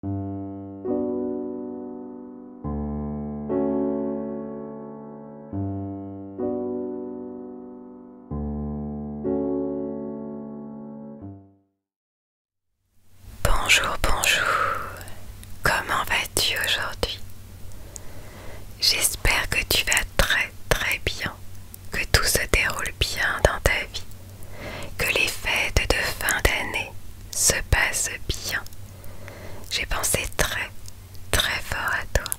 Bonjour, bonjour, comment vas-tu aujourd'hui J'espère que tu vas très très bien, que tout se déroule bien dans ta vie que les fêtes de fin d'année se passent bien. J'ai pensé très, très fort à toi.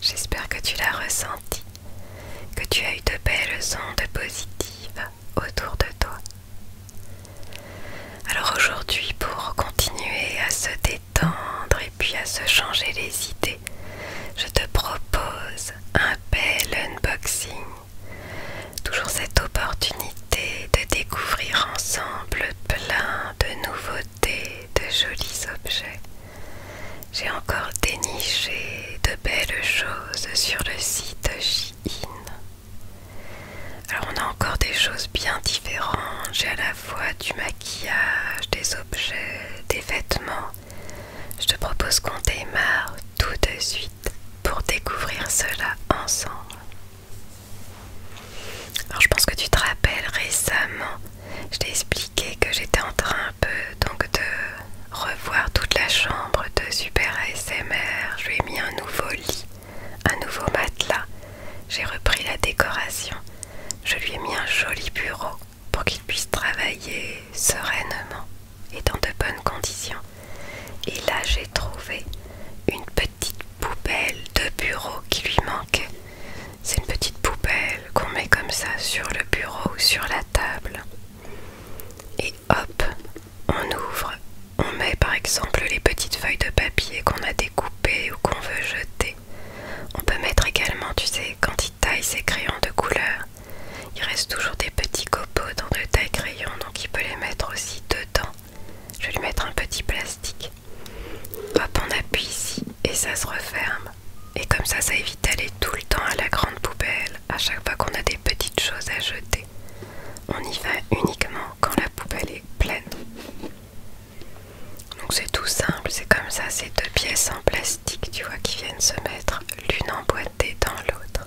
J'espère que tu l'as ressenti, que tu as eu de belles ondes positives autour de toi. Alors aujourd'hui, pour continuer à se détendre et puis à se changer les idées, je te propose un bel unboxing Toujours cette opportunité de découvrir ensemble plein de nouveautés, de jolis objets. J'ai encore déniché de belles choses sur le site Shein. Alors on a encore des choses bien différentes. J'ai à la fois du maquillage, des objets, des vêtements. Je te propose qu'on démarre tout de suite pour découvrir cela ensemble. Alors je pense que tu te rappelles récemment, je t'ai expliqué que j'étais en train un peu donc de revoir toute la chambre de Super ASMR. Je lui ai mis un nouveau lit, un nouveau matelas. J'ai repris la décoration. Je lui ai mis un joli bureau pour qu'il puisse travailler sereinement et dans de bonnes conditions. Et là, j'ai trouvé une petite poubelle de bureau qui lui manquait. C'est une petite poubelle qu'on met comme ça sur le bureau ou sur la table. Et hop, on ouvre. On met par exemple les petites feuilles de papier qu'on a découpées ou qu'on veut jeter. On peut mettre également, tu sais, quand il taille ses crayons de couleur, il reste toujours des petits copeaux dans le taille crayon, donc il peut les mettre aussi dedans. Je vais lui mettre un petit plastique. Hop, on appuie ici et ça se referme. Et comme ça, ça évite d'aller tout le temps à la grande poubelle à chaque fois qu'on a des petites choses à jeter. On y va uniquement quand la poubelle est pleine. Donc c'est tout simple, c'est comme ça, ces deux pièces en plastique, tu vois, qui viennent se mettre l'une emboîtée dans l'autre.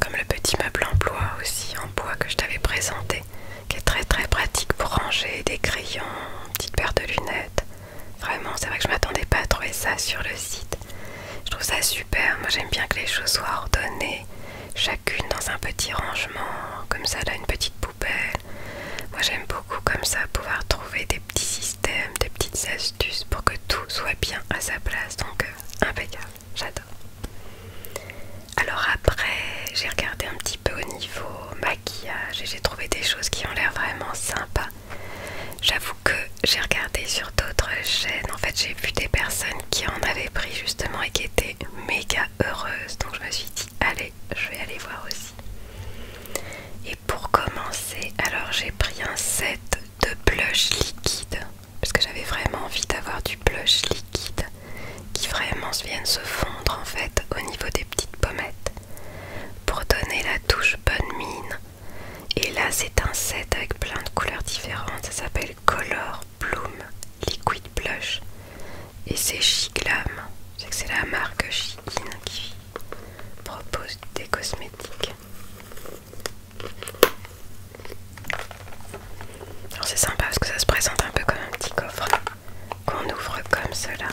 Comme le petit meuble en bois aussi, en bois que je t'avais présenté, qui est très très pratique pour ranger des crayons, une petite paire de lunettes. Vraiment, c'est vrai que je m'attendais pas à trouver ça sur le site. Je trouve ça super, moi j'aime bien que les choses soient ordonnées, chacune dans un petit rangement, comme ça là une petite poubelle, moi j'aime beaucoup comme ça pouvoir trouver des petits systèmes, des petites astuces pour que tout soit bien à sa place. Donc euh, impeccable, j'adore. Alors après j'ai regardé un petit peu au niveau maquillage et j'ai trouvé des choses qui ont l'air vraiment sympas. J'avoue que j'ai regardé sur d'autres chaînes, en fait j'ai vu des personnes qui en avaient pris justement et qui étaient méga heureuses. Donc je me suis dit Allez, je vais aller voir aussi. Et pour commencer, alors j'ai pris un set de blush liquide parce que j'avais vraiment envie d'avoir du blush liquide qui vraiment viennent se fondre en fait au niveau des petites pommettes pour donner la touche bonne mine. Et là, c'est un set avec plein de couleurs différentes. Ça s'appelle Color Bloom Liquid Blush. Et c'est Chic c'est que c'est la marque Chicine qui propose des cosmétiques. Alors c'est sympa parce que ça se présente un peu comme un petit coffre qu'on ouvre comme cela.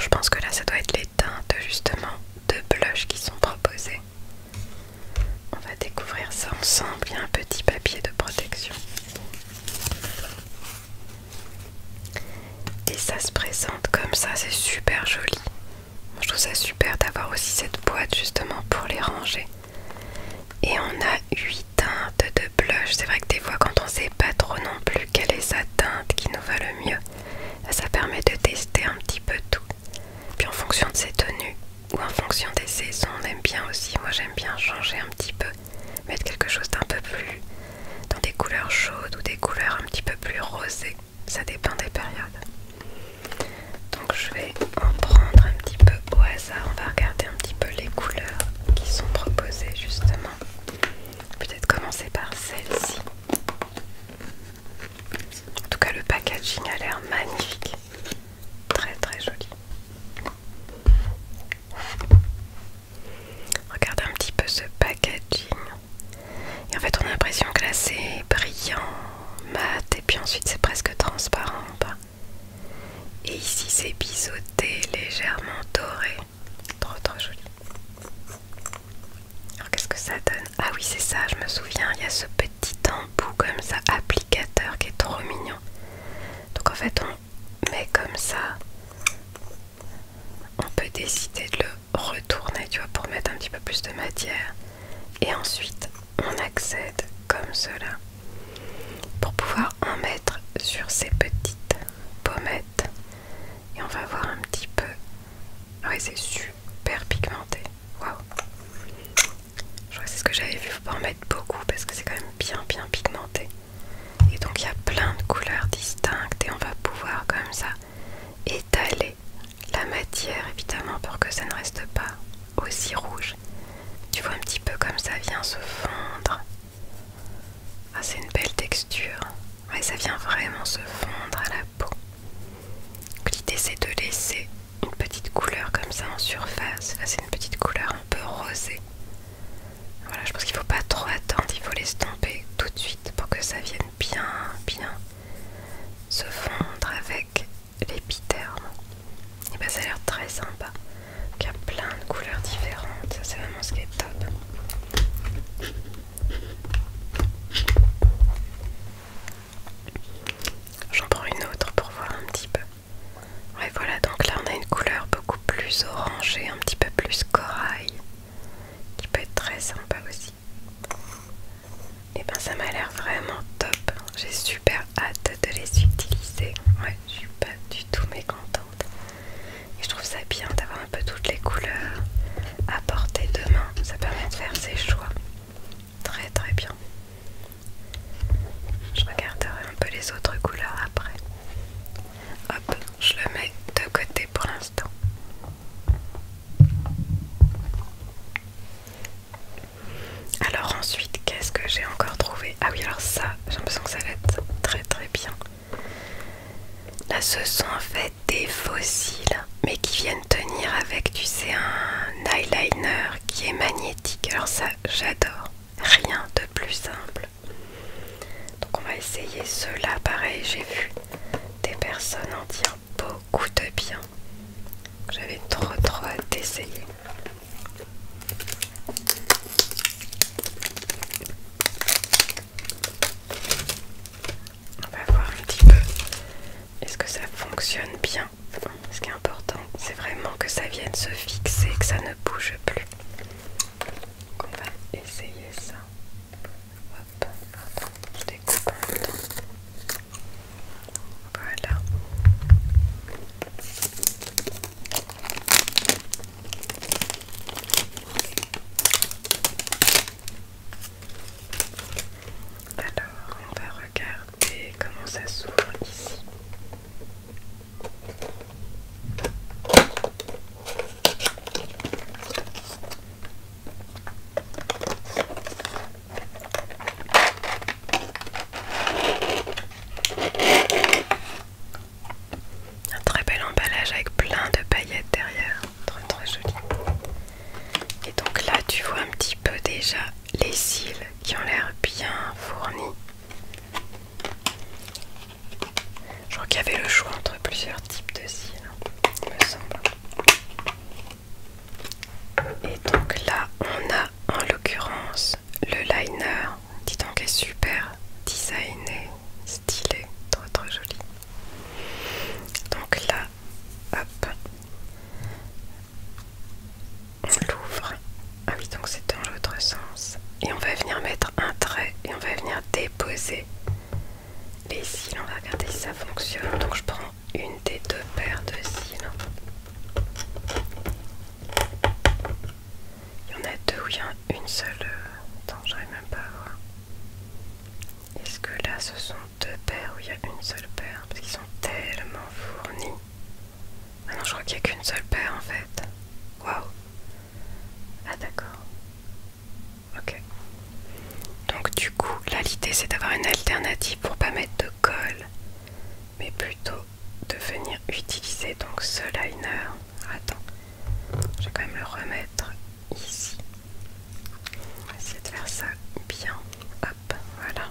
Je pense que là ça doit être les teintes justement de blush qui sont proposées. On va découvrir ça ensemble. Il y a un petit papier de protection. Et ça se présente comme ça, c'est super joli. je trouve ça super d'avoir aussi cette boîte justement pour les ranger. Et on a 8 teintes de blush. C'est vrai que des fois quand on sait pas trop non plus quelle est sa teinte qui nous va le mieux, bah, ça permet de tester un petit peu tout. Puis en fonction de ses tenues ou en fonction des saisons, on aime bien aussi. Moi j'aime bien changer un petit peu mettre quelque chose d'un peu plus dans des couleurs chaudes ou des couleurs un petit peu plus rosées. Ça dépend des périodes. Donc je vais en prendre un petit peu au hasard. On va regarder un petit peu les couleurs qui sont proposées justement. Peut-être commencer par celle-ci. En tout cas le packaging a l'air magnifique. Très très joli. Regarde un petit peu ce packaging. en fait, on a l'impression que là c'est brillant, mat, et puis ensuite c'est presque transparent Et ici c'est biseauté, légèrement doré. Trop trop joli. Alors qu'est-ce que ça donne Ah oui, c'est ça, je me souviens, il y a ce petit embout comme ça, applicateur qui est trop mignon. Donc en fait, on mais comme ça on peut décider de le retourner tu vois pour mettre un petit peu plus de matière et ensuite on accède comme cela pour pouvoir en mettre sur ces petites pommettes et on va voir un petit peu ouais c'est super pigmenté waouh je crois que c'est ce que j'avais vu, faut pas en mettre beaucoup parce que c'est quand même bien bien pigmenté. Et donc il y a plein de couleurs distinctes et on va pouvoir comme ça étaler la matière évidemment pour que ça ne reste pas aussi rouge. Tu vois un petit peu comme ça vient se fondre. Ah c'est une belle texture. Mais ça vient vraiment se fondre à la peau. L'idée c'est de laisser une petite couleur comme ça en surface. Là c'est une petite couleur un peu rosée. Voilà, je pense qu'il ne faut pas trop attendre, il faut les l'estomper tout de suite pour que ça vienne bien, bien se fondre avec l'épiterme. Et bien ça a l'air très sympa. il y a plein de couleurs différentes, ça c'est vraiment ce qui est top. J'en prends une autre pour voir un petit peu. Ouais voilà donc là on a une couleur beaucoup plus orangée, un petit peu plus corail, qui peut être très sympa aussi. Et eh ben ça m'a l'air vraiment top, j'ai super hâte de les utiliser. Ouais je suis pas du tout mécontente. Et je trouve ça bien d'avoir un peu toutes les couleurs à portée de ça permet de faire ses choix. Très très bien. Je regarderai un peu les autres couleurs après. Hop, je le mets de côté pour l'instant. Alors ensuite, qu'est-ce que j'ai encore trouvé Ah oui, alors ça, j'ai l'impression que ça va être très très bien. Là, ce sont en fait des fossiles, mais qui viennent tenir avec, tu sais, un eyeliner qui est magnétique. Alors ça, j'adore rien de plus simple. Donc on va essayer cela. pareil, j'ai vu des personnes en dire beaucoup de bien. J'avais trop trop hâte d'essayer. On va voir un petit peu est-ce que ça fonctionne bien, ce qui est important. C'est vraiment que ça vienne se fixer, que ça ne bouge plus. Donc on va essayer ça. Hop, je découpe Voilà. Alors, on va regarder comment ça s'ouvre ici. Un très bel emballage avec plein de paillettes derrière, très très joli. Et donc là, tu vois un petit peu déjà les cils qui ont l'air bien fournis. Je crois qu'il y avait le choix entre plusieurs types de cils, hein, il me semble. Et donc là, on a en l'occurrence le liner. Qui qu'il est super designé, stylé, trop trop joli. Donc là, hop on l'ouvre. Ah oui, donc c'est dans l'autre sens. Et on va venir mettre un trait et on va venir déposer les cils. On va regarder si ça fonctionne. Donc je prends une des deux paires de cils. Il y en a deux où il y a une seule. Attends, j'arrive même pas à voir. Est-ce que là ce sont deux paires où il y a une seule paire Parce qu'ils sont tellement fournis. Ah non, je crois qu'il n'y a qu'une seule paire en fait. Waouh! Ah d'accord. Ok. Donc du coup, là l'idée c'est d'avoir une alternative pour pas mettre de colle, mais plutôt de venir utiliser donc ce liner. Attends, je vais quand même le remettre ici. On de faire ça bien. Hop, voilà.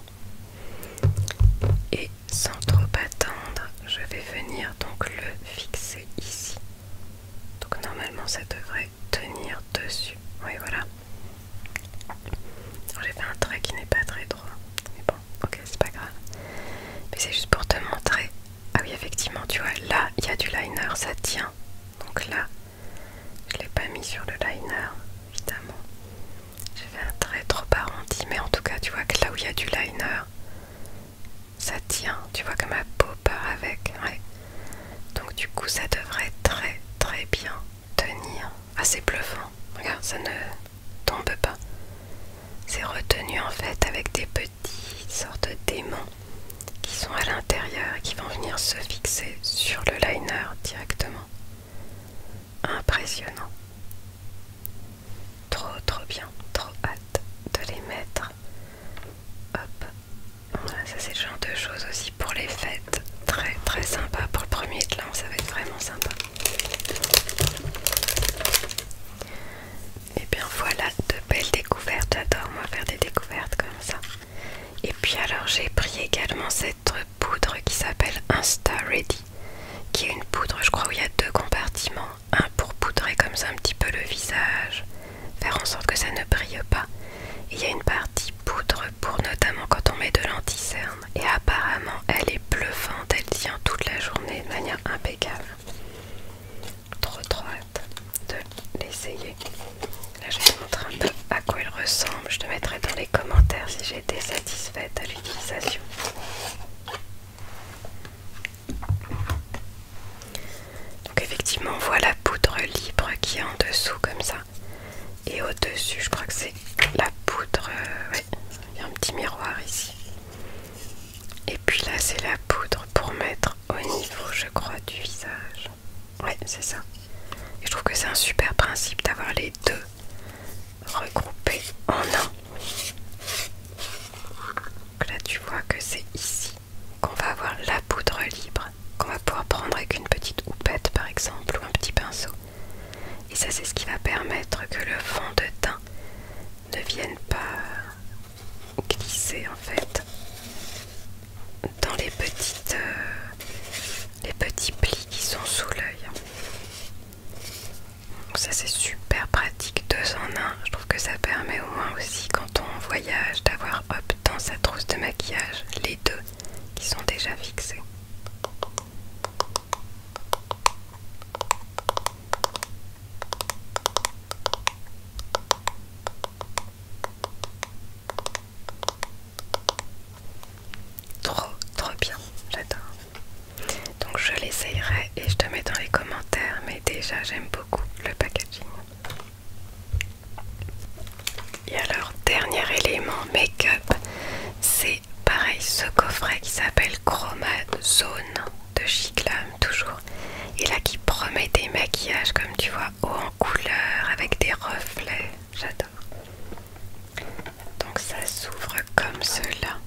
Et sans trop attendre, je vais venir donc le fixer ici. Donc normalement ça devrait tenir dessus. Oui voilà. J'ai fait un trait qui n'est pas très droit. Mais bon, ok, c'est pas grave. Mais c'est juste pour te montrer. Ah oui, effectivement, tu vois, là, il y a du liner, ça tient. Donc là, je l'ai pas mis sur le liner, évidemment. Je fait un trait trop arrondi, mais en tout cas, tu vois que là où il y a du liner, ça tient. Tu vois que ma peau part avec. Donc, du coup, ça devrait très très bien tenir. Assez ah, bluffant. Regarde, ça ne tombe pas. C'est retenu en fait avec des petites sortes démons qui sont à l'intérieur et qui vont venir se fixer sur le liner directement. Impressionnant. Trop trop bien, trop hâte de les mettre. Hop. ça c'est le genre de choses aussi pour les fêtes. Très très sympa pour le premier de ça va être vraiment sympa. Et eh bien voilà de belles découvertes, j'adore moi faire des découvertes comme ça. Et puis alors j'ai pris également cette poudre qui s'appelle Insta Ready qui est une poudre, je crois, où il y a deux compartiments. Un pour poudrer comme ça un petit peu le visage, faire en sorte que ça ne brille pas. Et il y a une partie poudre pour notamment quand on met de l'anticerne. Et apparemment, elle est bluffante, elle tient toute la journée de manière impeccable. Trop trop de l'essayer. Là, je suis en un peu à quoi elle ressemble. Je te mettrai dans les commentaires si j'ai été satisfaite à l'utilisation. Donc effectivement on voit la poudre libre qui est en dessous comme ça. Et au-dessus je crois que c'est la poudre... Euh, il y a un petit miroir ici. Et puis là c'est la poudre pour mettre au niveau je crois du visage. Ouais c'est ça. Et je trouve que c'est un super principe d'avoir les deux regroupés en un. là tu vois que c'est ici qu'on va avoir la poudre libre, qu'on va pouvoir prendre avec une petite houppette par exemple ou un petit pinceau. Et ça c'est ce qui va permettre que le fond de teint ne vienne pas glisser en fait dans les petites euh, les petits plis qui sont sous l'œil ça c'est super pratique, deux en un. Je trouve que ça permet au moins aussi quand on voyage d'avoir hop dans sa trousse de maquillage les deux qui sont déjà fixés. Trop, trop bien, j'adore. Donc je l'essayerai et je te mets dans les commentaires, mais déjà j'aime beaucoup le packaging. Et alors, dernier élément make-up, c'est pareil ce coffret qui s'appelle Chroma Zone de Chiclam, toujours. Et là qui promet des maquillages comme tu vois, haut en couleur, avec des reflets, j'adore. Donc ça s'ouvre comme cela.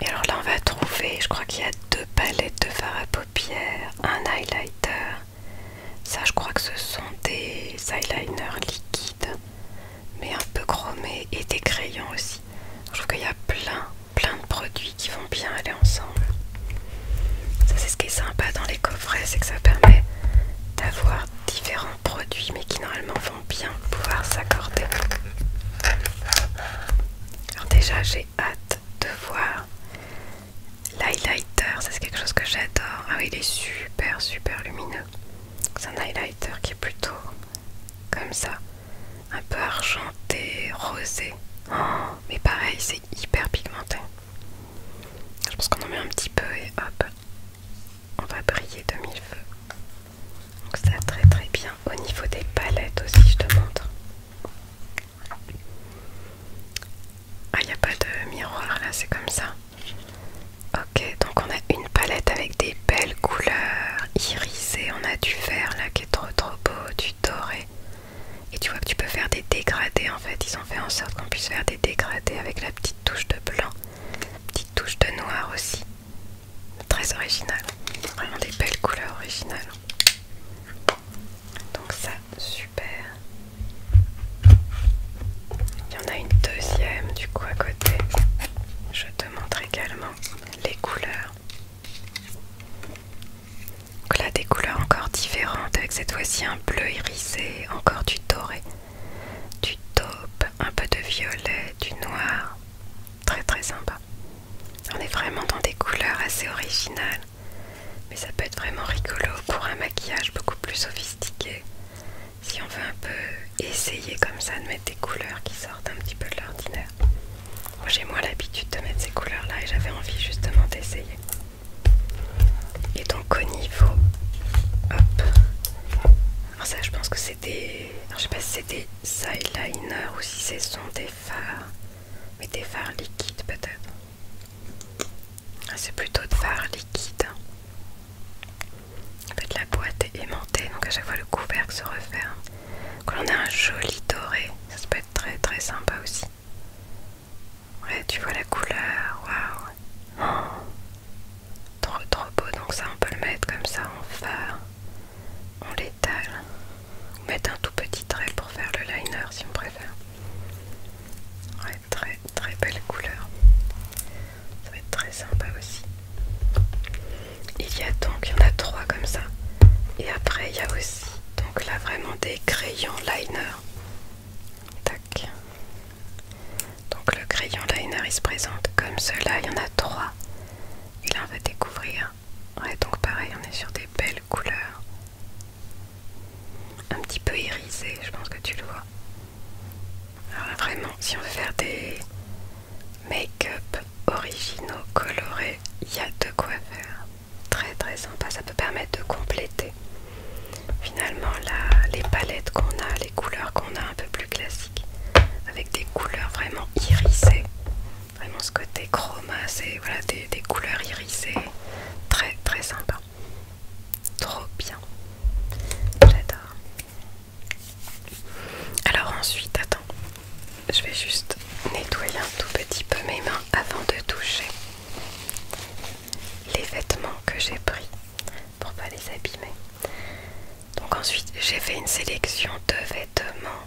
Et alors là on va trouver, je crois qu'il y a deux palettes de fards à paupières, un highlighter. Ça je crois que ce sont des eyeliners liquides, mais un peu chromés et des crayons aussi. Je trouve qu'il y a plein, plein de produits qui vont bien aller ensemble. Ça c'est ce qui est sympa dans les coffrets, c'est que ça permet d'avoir différents produits mais qui normalement bien pouvoir s'accorder. Alors déjà j'ai hâte de voir l'highlighter, ça c'est quelque chose que j'adore. Ah oui il est super super lumineux. C'est un highlighter qui est plutôt comme ça, un peu argenté, rosé. Oh, mais pareil c'est hyper pigmenté. Je pense qu'on en met un petit peu et hop, on va briller de mille feux. Donc ça très très bien. Au niveau des palettes aussi, je te montre. Ah, il n'y a pas de miroir là, c'est comme ça. Ok, donc on a une palette avec des belles couleurs irisées. On a du vert là qui est trop trop beau, du doré. Et tu vois que tu peux faire des dégradés en fait. Ils ont fait en sorte qu'on puisse faire des dégradés avec la petite touche de blanc, petite touche de noir aussi. Très original. Vraiment des belles couleurs originales. Donc ça, super. Il y en a une deuxième du coup à côté. Je te montre également les couleurs. Donc là, des couleurs encore différentes avec cette fois-ci un bleu irisé, encore du doré, du taupe, un peu de violet, du noir, très très sympa. On est vraiment dans des couleurs assez originales, mais ça peut être vraiment rigolo pour un maquillage beaucoup plus sophistiqué. Si on veut un peu essayer comme ça de mettre des couleurs qui sortent un petit peu de l'ordinaire. Moi j'ai moins l'habitude de mettre ces couleurs là et j'avais envie justement d'essayer. Et donc au niveau... Hop. Alors ça je pense que c'est des... je sais pas si c'est des eyeliner ou si ce sont des fards, mais des fards liquides peut-être. Ah, c'est plutôt de fards liquides. la boîte est aimantée, donc à chaque fois le couvercle se referme. Quand on a un joli doré, ça, peut être très très sympa aussi. Ouais, tu vois la couleur, waouh! Oh, trop trop beau, donc ça on peut le mettre comme ça en phare on l'étale on mettre un tout petit trait pour faire le liner si on préfère ouais, très très belle couleur ça va être très sympa aussi il y a donc il y en a trois comme ça et après il y a aussi donc là vraiment des crayons liner tac donc le crayon liner il se présente comme cela il y en a trois et là on va découvrir. donc pareil on est sur des belles couleurs. Un petit peu irisé, je pense que tu le vois. Alors vraiment, si on veut faire des make-up originaux, colorés, il y a de quoi faire. Très très sympa, ça peut permettre de compléter finalement la, les palettes qu'on a, les couleurs qu'on a un peu plus classiques avec des couleurs vraiment irisées vraiment ce côté chroma c'est voilà des, couleurs irisées très très sympa trop bien j'adore alors ensuite attends je vais juste nettoyer un tout petit peu mes mains avant de toucher les vêtements que j'ai pris pour pas les abîmer donc ensuite j'ai fait une sélection de vêtements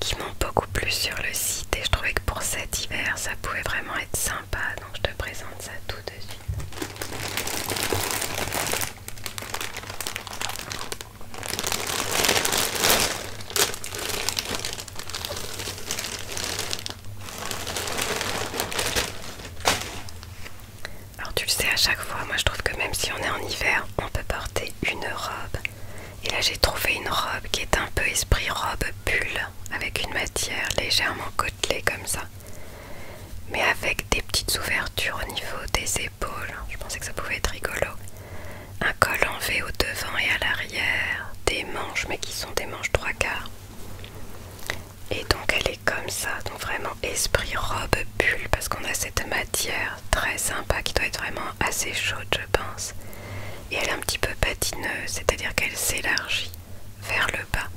qui m'ont beaucoup plu sur le site et je trouvais que pour cet hiver ça pouvait vraiment être sympa donc je te présente ça tout de suite. Alors tu le sais à chaque fois, moi je trouve que même si on est en hiver, on peut porter une robe. Et là j'ai trouvé une robe qui est un peu esprit robe bulle avec une matière légèrement côtelée comme ça. Mais avec des petites ouvertures au niveau des épaules, je pensais que ça pouvait être rigolo. Un col en V au devant et à l'arrière, des manches mais qui sont des manches trois quarts. Et donc elle est comme ça, donc vraiment esprit robe bulle parce qu'on a cette matière très sympa qui doit être vraiment assez chaude je pense et elle est un petit peu patineuse c'est à dire qu'elle s'élargit vers le bas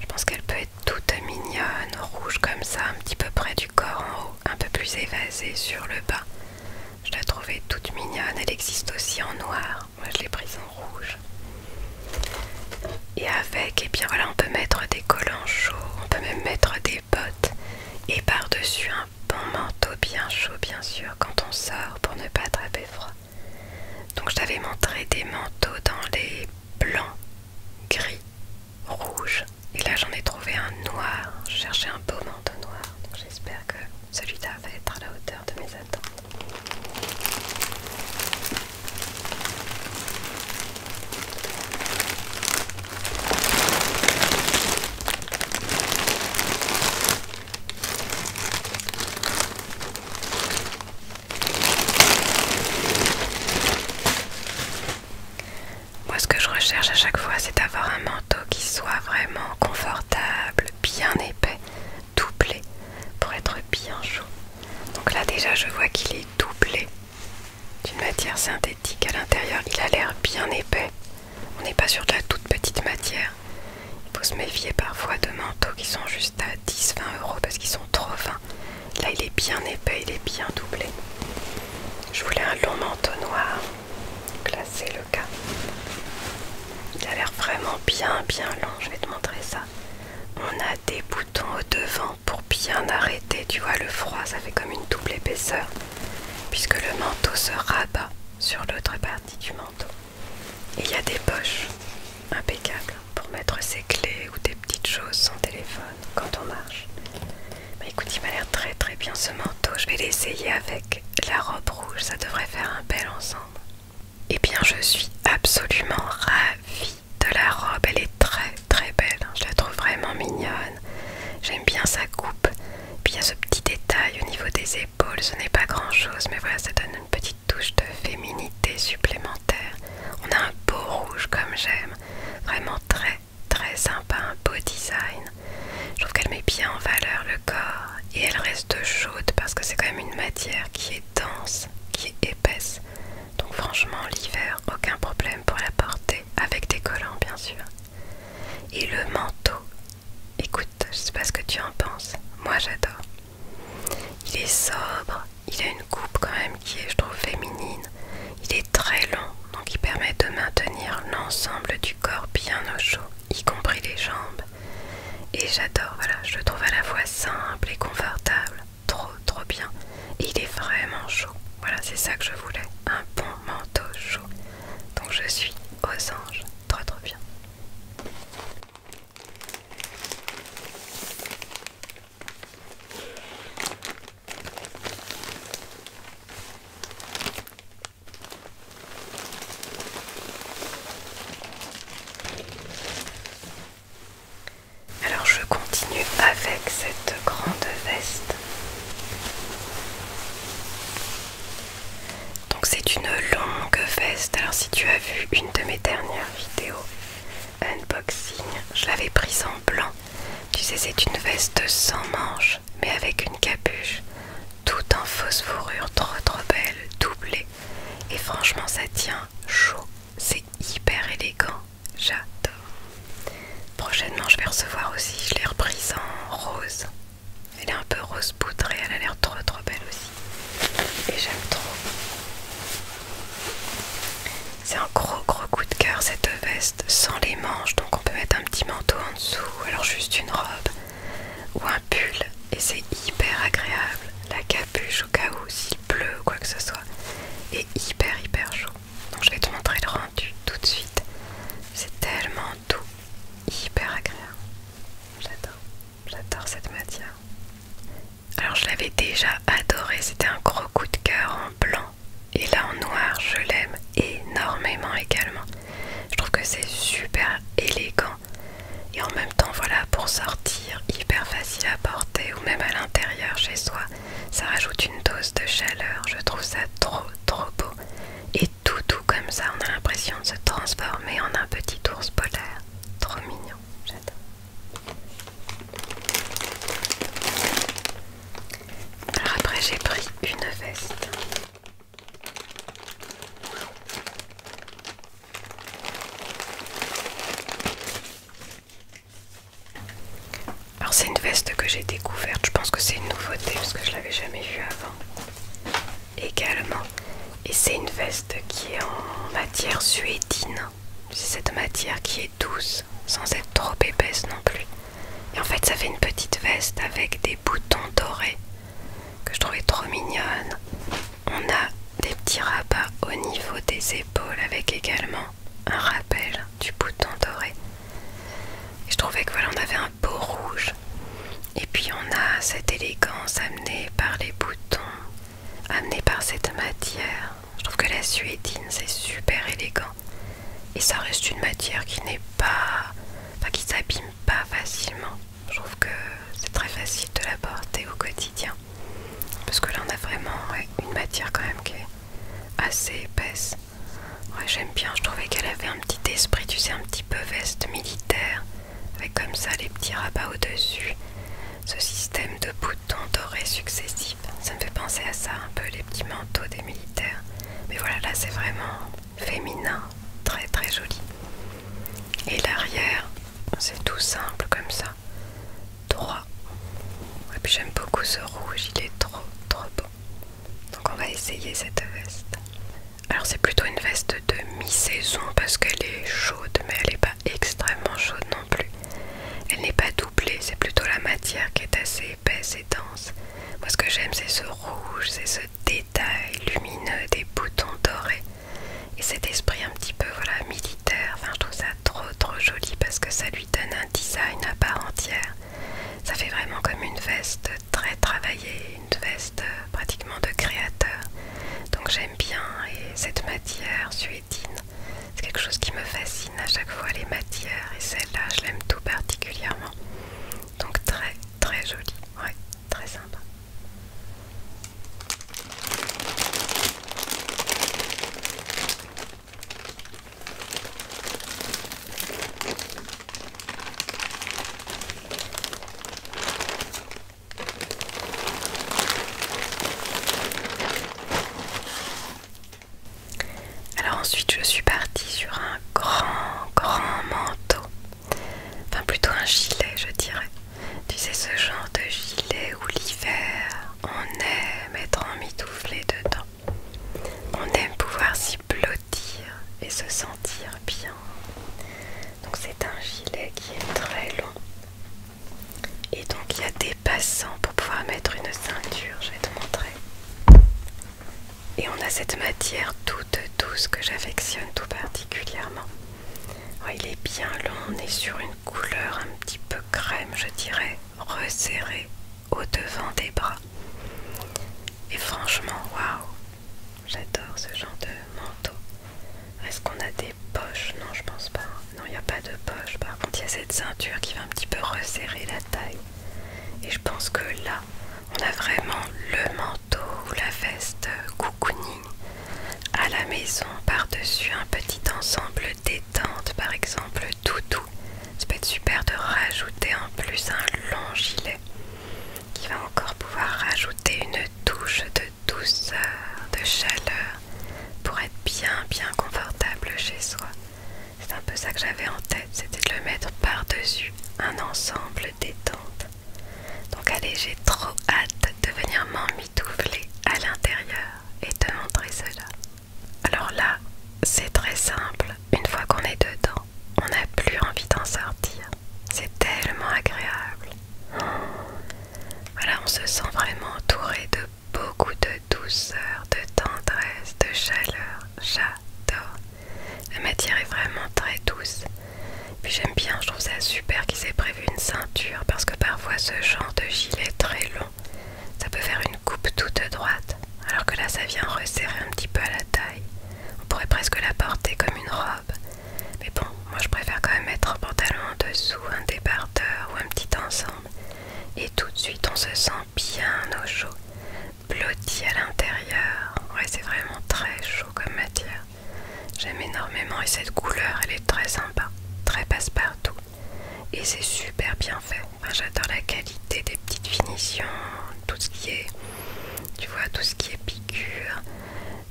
je pense qu'elle peut être toute mignonne rouge comme ça un petit peu près du corps en haut un peu plus évasée sur le bas je la trouvais toute mignonne elle existe aussi en noir moi je l'ai prise en rouge et avec et eh bien voilà on peut mettre des collants chauds on peut même mettre des et par-dessus un bon manteau bien chaud bien sûr quand on sort pour ne pas attraper froid. Donc je t'avais montré des manteaux dans les blancs, gris, rouges et là j'en ai trouvé un noir. Je cherchais un beau manteau noir. j'espère que celui-là va être à la hauteur de mes attentes. Moi, ce que je recherche à chaque fois, c'est d'avoir un manteau qui soit vraiment confortable, bien épais, doublé, pour être bien chaud. Donc là, déjà, je vois qu'il est doublé d'une matière synthétique à l'intérieur. Il a l'air bien épais. On n'est pas sur de la toute petite matière. Il faut se méfier parfois de manteaux qui sont juste à 10-20 euros parce qu'ils sont trop fins. Là, il est bien épais, il est bien doublé. Je voulais un long manteau noir. classé le cas. Il a l'air vraiment bien, bien long. Je vais te montrer ça. On a des boutons au devant pour bien arrêté. tu vois, le froid, ça fait comme une double épaisseur, puisque le manteau se rabat sur l'autre partie du manteau. il y a des poches impeccables pour mettre ses clés ou des petites choses, son téléphone, quand on marche. Mais bah, écoute, il m'a l'air très très bien ce manteau. Je vais l'essayer avec la robe rouge, ça devrait faire un bel ensemble. Et eh bien, je suis absolument ravie de la robe, elle est très très belle, hein. je la trouve vraiment mignonne. J'aime bien sa coupe. Puis il y a ce petit détail au niveau des épaules, ce n'est pas grand chose, mais voilà, ça donne une petite touche de féminité supplémentaire. On a un beau rouge comme j'aime, vraiment très très sympa, un beau design. Je trouve qu'elle met bien en valeur le corps et elle reste chaude parce que c'est quand même une matière qui est dense, qui est épaisse. Donc franchement l'hiver, aucun problème pour la porter, avec des collants bien sûr. Et le manteau, écoute, je sais pas ce que tu en penses, moi j'adore. Il est sobre, il a une coupe quand même qui est, je trouve, féminine. Il est très long, donc il permet de maintenir l'ensemble du corps bien au chaud, y compris les jambes. Et j'adore, voilà, je le trouve à la fois simple et confortable, trop trop bien il est vraiment chaud. Voilà, c'est ça que je voulais. Un bon manteau chaud. Donc je suis aux anges. Trop trop bien. Alors je continue avec cette grande veste donc c'est une longue veste. Alors si tu as vu une de mes dernières vidéos unboxing, je l'avais prise en blanc. Tu sais c'est une veste sans manches mais avec une capuche, tout en fausse fourrure trop trop belle, doublée. Et franchement ça tient chaud, c'est hyper élégant j'adore. Prochainement, je vais recevoir aussi, je l'ai reprise en rose. Elle est un peu rose poudrée, elle a l'air trop trop belle aussi. Et j'aime trop. C'est un gros gros coup de cœur cette veste sans les manches, donc on peut mettre un petit manteau en dessous, alors juste une robe ou un pull. Et c'est hyper agréable. La capuche au cas où s'il pleut ou quoi que ce soit Et hyper hyper chaud. Donc je vais te montrer le rang tout de suite. C'est tellement doux, hyper agréable. J'adore, j'adore cette matière. Alors je l'avais déjà adoré, c'était un gros coup de cœur en blanc. Et là en noir, je l'aime énormément également. Je trouve que c'est super élégant. Et en même temps, voilà, pour sortir, hyper facile à porter ou même à l'intérieur chez soi. Ça rajoute une dose de chaleur, je trouve ça trop trop beau. Et tout tout comme ça, on a l'impression de se transformer en un petit ours polaire. Trop mignon, j'adore. Alors après j'ai pris une veste. Alors c'est une veste que j'ai découverte, je pense que c'est une nouveauté parce que je l'avais jamais vue avant. Également, et c'est une veste qui est en matière suédine. C'est cette matière qui est douce, sans être trop épaisse non plus. Et en fait, ça fait une petite veste avec des boutons dorés que je trouvais trop mignonne. On a des petits rabats au niveau des épaules avec également un rappel du bouton doré. Et je trouvais que voilà, on avait un beau rouge. Et puis on a cette élégance amenée par les boutons, amenée par cette matière. Je trouve que la suédine, c'est super élégant. Et ça reste une matière qui n'est pas... qui s'abîme pas facilement. Je trouve que c'est très facile de la porter au quotidien. Parce que là, on a vraiment une matière quand même qui est assez épaisse j'aime bien, je trouvais qu'elle avait un petit esprit, tu sais, un petit peu veste militaire, avec comme ça les petits rabats au-dessus. Ce système de boutons dorés successifs, ça me fait penser à ça un peu, les petits manteaux des militaires. Mais voilà, là c'est vraiment féminin, très très joli. Et l'arrière, c'est tout simple comme ça, droit. Et puis j'aime beaucoup ce rouge, il est trop trop beau. Donc on va essayer cette veste. Alors c'est plutôt une veste de mi-saison parce qu'elle est chaude mais elle n'est pas extrêmement chaude non plus. Elle n'est pas doublée, c'est plutôt la matière qui est assez épaisse et dense. Moi ce que j'aime c'est ce rouge, c'est ce détail lumineux des boutons dorés et cet esprit un petit peu voilà militaire. Enfin je trouve ça trop trop joli parce que ça lui donne un design à part entière. Ça fait vraiment comme une veste très travaillée, une veste euh, pratiquement de créateur. Donc j'aime bien et cette matière suédine, c'est quelque chose qui me fascine à chaque fois les matières et celle-là je l'aime tout particulièrement. Donc très très jolie, ouais, très sympa. Alors ensuite je suis partie sur un grand grand manteau, enfin plutôt un gilet je dirais. Tu sais ce genre de gilet où l'hiver on aime être emmitouflé dedans. On aime pouvoir s'y blottir et se sentir bien. Donc c'est un gilet qui est très long. Et donc il y a des passants pour pouvoir mettre une ceinture, je vais te montrer. Et on a cette matière toute douce que j'affectionne tout particulièrement. Oh, il est bien long, on est sur une couleur un petit peu crème, je dirais, resserrée, au-devant des bras. Et franchement, waouh, j'adore ce genre de manteau. Est-ce qu'on a des poches Non, je pense pas. Non, il n'y a pas de poche. Par contre, il y a cette ceinture qui va un petit peu resserrer la taille. Et je pense que là, on a vraiment le manteau ou la veste cocooning à la maison par-dessus un petit ensemble détente, par exemple tout doux ça peut être super de rajouter en plus un long gilet qui va encore pouvoir rajouter une touche de douceur, de chaleur pour être bien bien confortable chez soi. C'est un peu ça que j'avais en tête, c'était de le mettre par-dessus un ensemble détente. Donc allez, j'ai trop hâte de venir m'emmitoufler à l'intérieur et te montrer cela. Alors là, c'est très simple. Une fois qu'on est dedans, on n'a plus envie d'en sortir. C'est tellement agréable. Voilà, on se sent vraiment entouré de beaucoup de douceur, de tendresse, de chaleur. J'adore. La matière est vraiment très douce. Puis j'aime bien, je trouve ça super qu'ils aient prévu une ceinture parce que parfois ce genre de gilet très long, ça peut faire une coupe toute droite, alors que là ça vient resserrer un petit peu à la taille. On pourrait presque la porter comme une robe. Mais bon, moi je préfère quand même mettre un pantalon en dessous, un débardeur ou un petit ensemble. Et tout de suite on se sent bien au chaud, blotti à l'intérieur. Ouais, c'est vraiment très chaud comme matière. J'aime énormément et cette couleur elle est très sympa, très passe-partout. Et c'est super bien fait. J'adore la qualité des petites finitions, tout ce qui est, tu vois, tout ce qui est piqûre.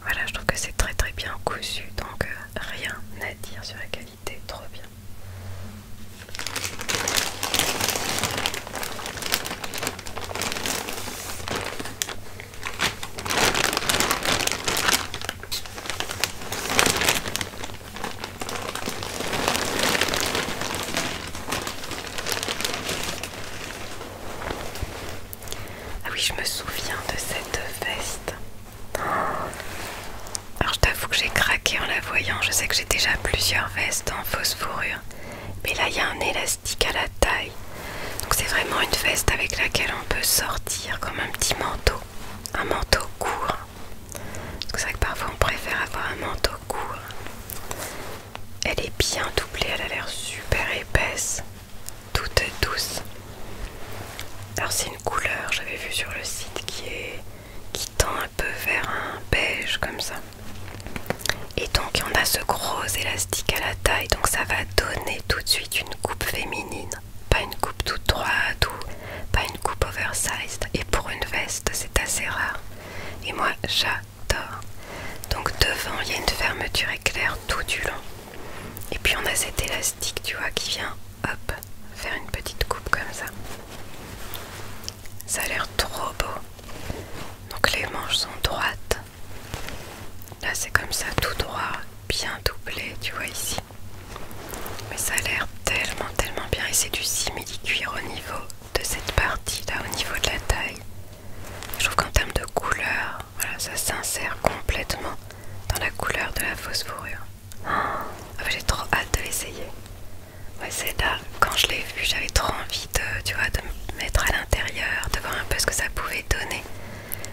Voilà, je trouve que c'est très très bien cousu, donc euh, rien à dire sur la qualité, trop bien. Ah oui, je me souviens de cette veste. Alors je t'avoue que j'ai craqué en la voyant. Je sais que j'ai déjà plusieurs vestes en fausse fourrure. Mais là, il y a un élastique à la taille. Donc c'est vraiment une veste avec laquelle on peut sortir comme un petit manteau. Un manteau court c'est vrai que parfois on préfère avoir un manteau court. Elle est bien doublée, elle a l'air super épaisse, toute douce. Alors c'est une couleur, j'avais vu sur le site, qui qui tend un peu vers un beige comme ça. Et donc on a ce gros élastique à la taille, donc ça va donner tout de suite une coupe féminine, pas une coupe toute droite ou pas une coupe oversized. Et pour une veste, c'est assez rare. Et moi, j'adore. Donc devant, il y a une fermeture éclair tout du long. Et puis on a cet élastique, tu vois, qui vient, hop, faire une petite coupe comme ça. Ça a l'air trop beau. Donc les manches sont droites. Là, c'est comme ça, tout droit, bien doublé, tu vois ici. Mais ça a l'air tellement, tellement bien. Et c'est du simili-cuir au niveau de cette partie là au niveau de la taille. Je trouve qu'en termes de couleur, voilà, ça s'insère complètement dans la couleur de la fausse fourrure. Ah, j'ai trop hâte de l'essayer. Ouais, c'est là, quand je l'ai vu, j'avais trop envie de, tu vois, de me mettre à l'intérieur, de voir un peu ce que ça pouvait donner.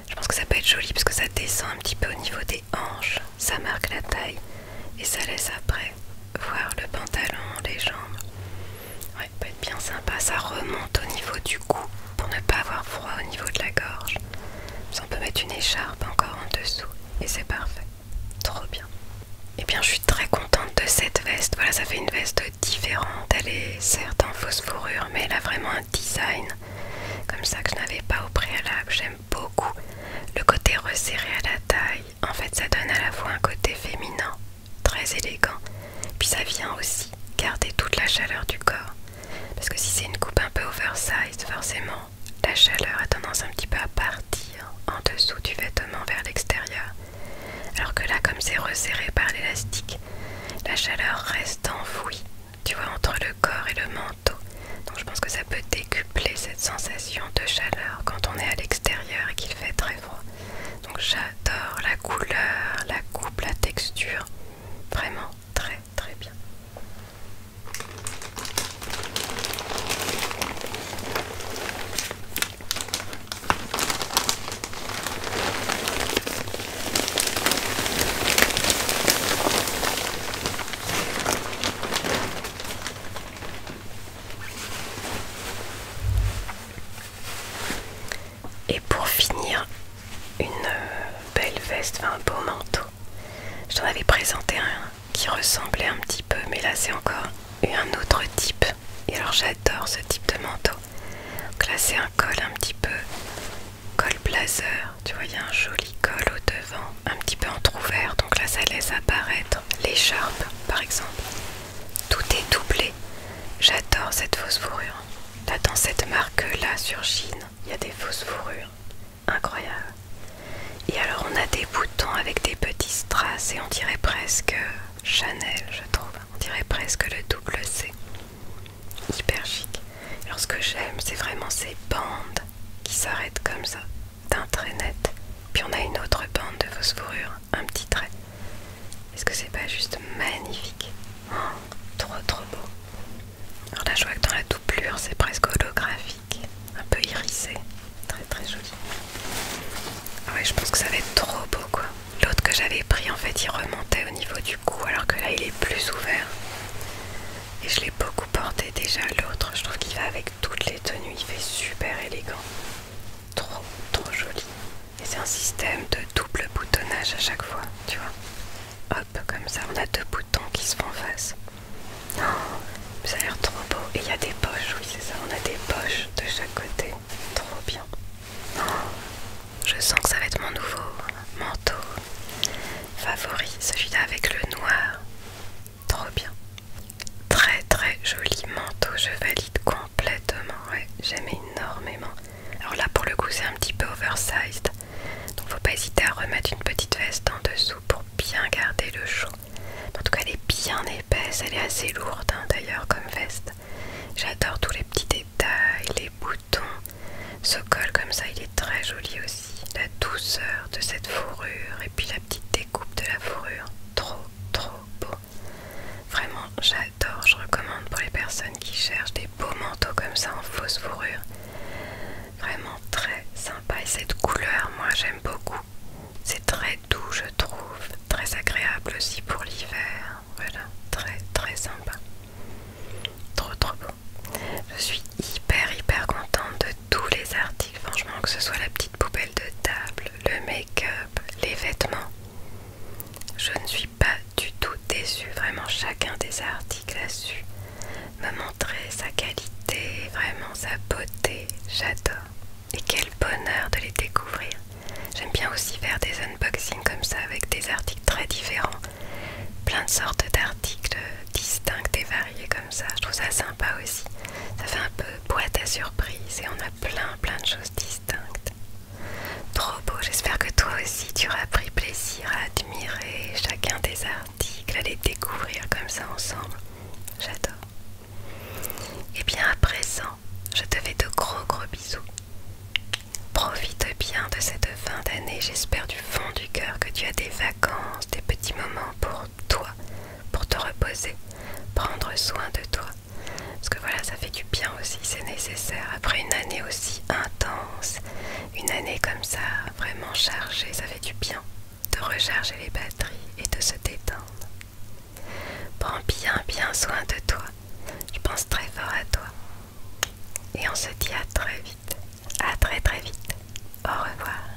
Je pense que ça peut être joli parce que ça descend un petit peu au niveau des hanches, ça marque la taille et ça laisse après Voir le pantalon, les jambes. Ouais, peut être bien sympa. Ça remonte au niveau du cou pour ne pas avoir froid au niveau de la gorge. on peut mettre une écharpe encore en dessous et c'est parfait. Trop bien. Et eh bien, je suis très contente de cette veste. Voilà, ça fait une veste différente. Elle est certes en fausse fourrure, mais elle a vraiment un design comme ça que je n'avais pas au préalable. J'aime beaucoup le côté resserré à la taille, en fait, ça donne à la fois un côté féminin, très élégant, puis ça vient aussi garder toute la chaleur du corps. Parce que si c'est une coupe un peu oversized, forcément, la chaleur a tendance un petit peu à partir en dessous du vêtement vers l'extérieur. Alors que là, comme c'est resserré par l'élastique, la chaleur reste enfouie, tu vois, entre le corps et le manteau. Donc je pense que ça peut décupler cette sensation de chaleur quand on est à l'extérieur et qu'il fait très donc j'adore la couleur, la coupe, la texture. Vraiment très très bien. Et pour finir, une belle veste, enfin, un beau manteau. Je t'en avais présenté un qui ressemblait un petit peu, mais là c'est encore un autre type. Et alors j'adore ce type de manteau. Donc là c'est un col un petit peu col blazer. Tu vois, il y a un joli col au devant, un petit peu entrouvert. Donc là ça laisse apparaître l'écharpe par exemple. Tout est doublé. J'adore cette fausse fourrure. Là, dans cette marque-là sur Chine, il y a des fausses fourrures. incroyables. Et alors, on a des boutons avec des petits strass et on dirait presque Chanel, je trouve. On dirait presque le double C. Hyper chic. Alors, ce que j'aime, c'est vraiment ces bandes qui s'arrêtent comme ça d'un trait net, puis on a une autre bande de fourrure un petit trait. Est-ce que c'est pas juste magnifique oh, Trop trop beau. Alors là je vois que dans la doublure c'est presque holographique, un peu irisé, très très joli. Ah ouais je pense que ça va être trop beau quoi. L'autre que j'avais pris en fait il remontait au niveau du cou alors que là il est plus ouvert. Et je l'ai beaucoup porté déjà l'autre, je trouve qu'il va avec toutes les tenues, il fait super élégant. Trop, trop joli. Et c'est un système de double boutonnage à chaque fois, tu vois. Hop, comme ça, on a deux boutons qui se font face. Oh, ça a l'air trop beau. Et il y a des poches, oui, c'est ça. On a des poches de chaque côté. Trop bien. Oh, je sens que ça va être mon nouveau manteau favori, celui-là avec le noir. Trop bien. Très très joli manteau, je valide complètement. j'aime énormément. Alors là pour le coup c'est un petit peu oversized. Donc faut pas hésiter à remettre une petite veste en dessous pour bien garder le chaud. En tout cas elle est bien épaisse, elle est assez lourde hein, d'ailleurs comme veste. J'adore tous les petits détails, les boutons. Ce col comme ça il est très joli aussi. La douceur de cette fourrure et puis la petite découpe de la fourrure. Trop trop beau. Vraiment, j'adore, je recommande pour les personnes qui cherchent des beaux manteaux comme ça en fausse fourrure. Vraiment très sympa et cette couleur, moi j'aime beaucoup. C'est très doux, je trouve, très agréable aussi pour l'hiver. Voilà, très très sympa. Trop trop beau. Je suis hyper hyper contente de tous les articles, franchement, que ce soit la petite poubelle de table, le les vêtements. Je ne suis pas du tout déçue, vraiment chacun des articles a su me montrer sa qualité, vraiment sa beauté, j'adore. Et quel bonheur de les découvrir. J'aime bien aussi faire des unboxing comme ça avec des articles très différents, plein de sortes d'articles distincts et variés comme ça. Je trouve ça sympa aussi. Ça fait un peu boîte à surprise et on a plein plein de choses distinctes. Trop beau, j'espère que toi aussi tu auras pris plaisir à admirer chacun des articles, à les découvrir comme ça ensemble. J'adore. Et bien à présent, je te fais de gros gros bisous. Profite bien de cette fin d'année, j'espère du fond du cœur que tu as des vacances, des petits moments pour toi, pour te reposer, prendre soin de toi. Parce que voilà, ça fait du bien aussi, c'est nécessaire. Après une année aussi intense, une année comme ça, vraiment chargée, ça fait du bien de recharger les batteries et de se détendre. Prends bien, bien soin de toi. Je pense très fort à toi. Et on se dit à très vite. À très, très vite. Au revoir.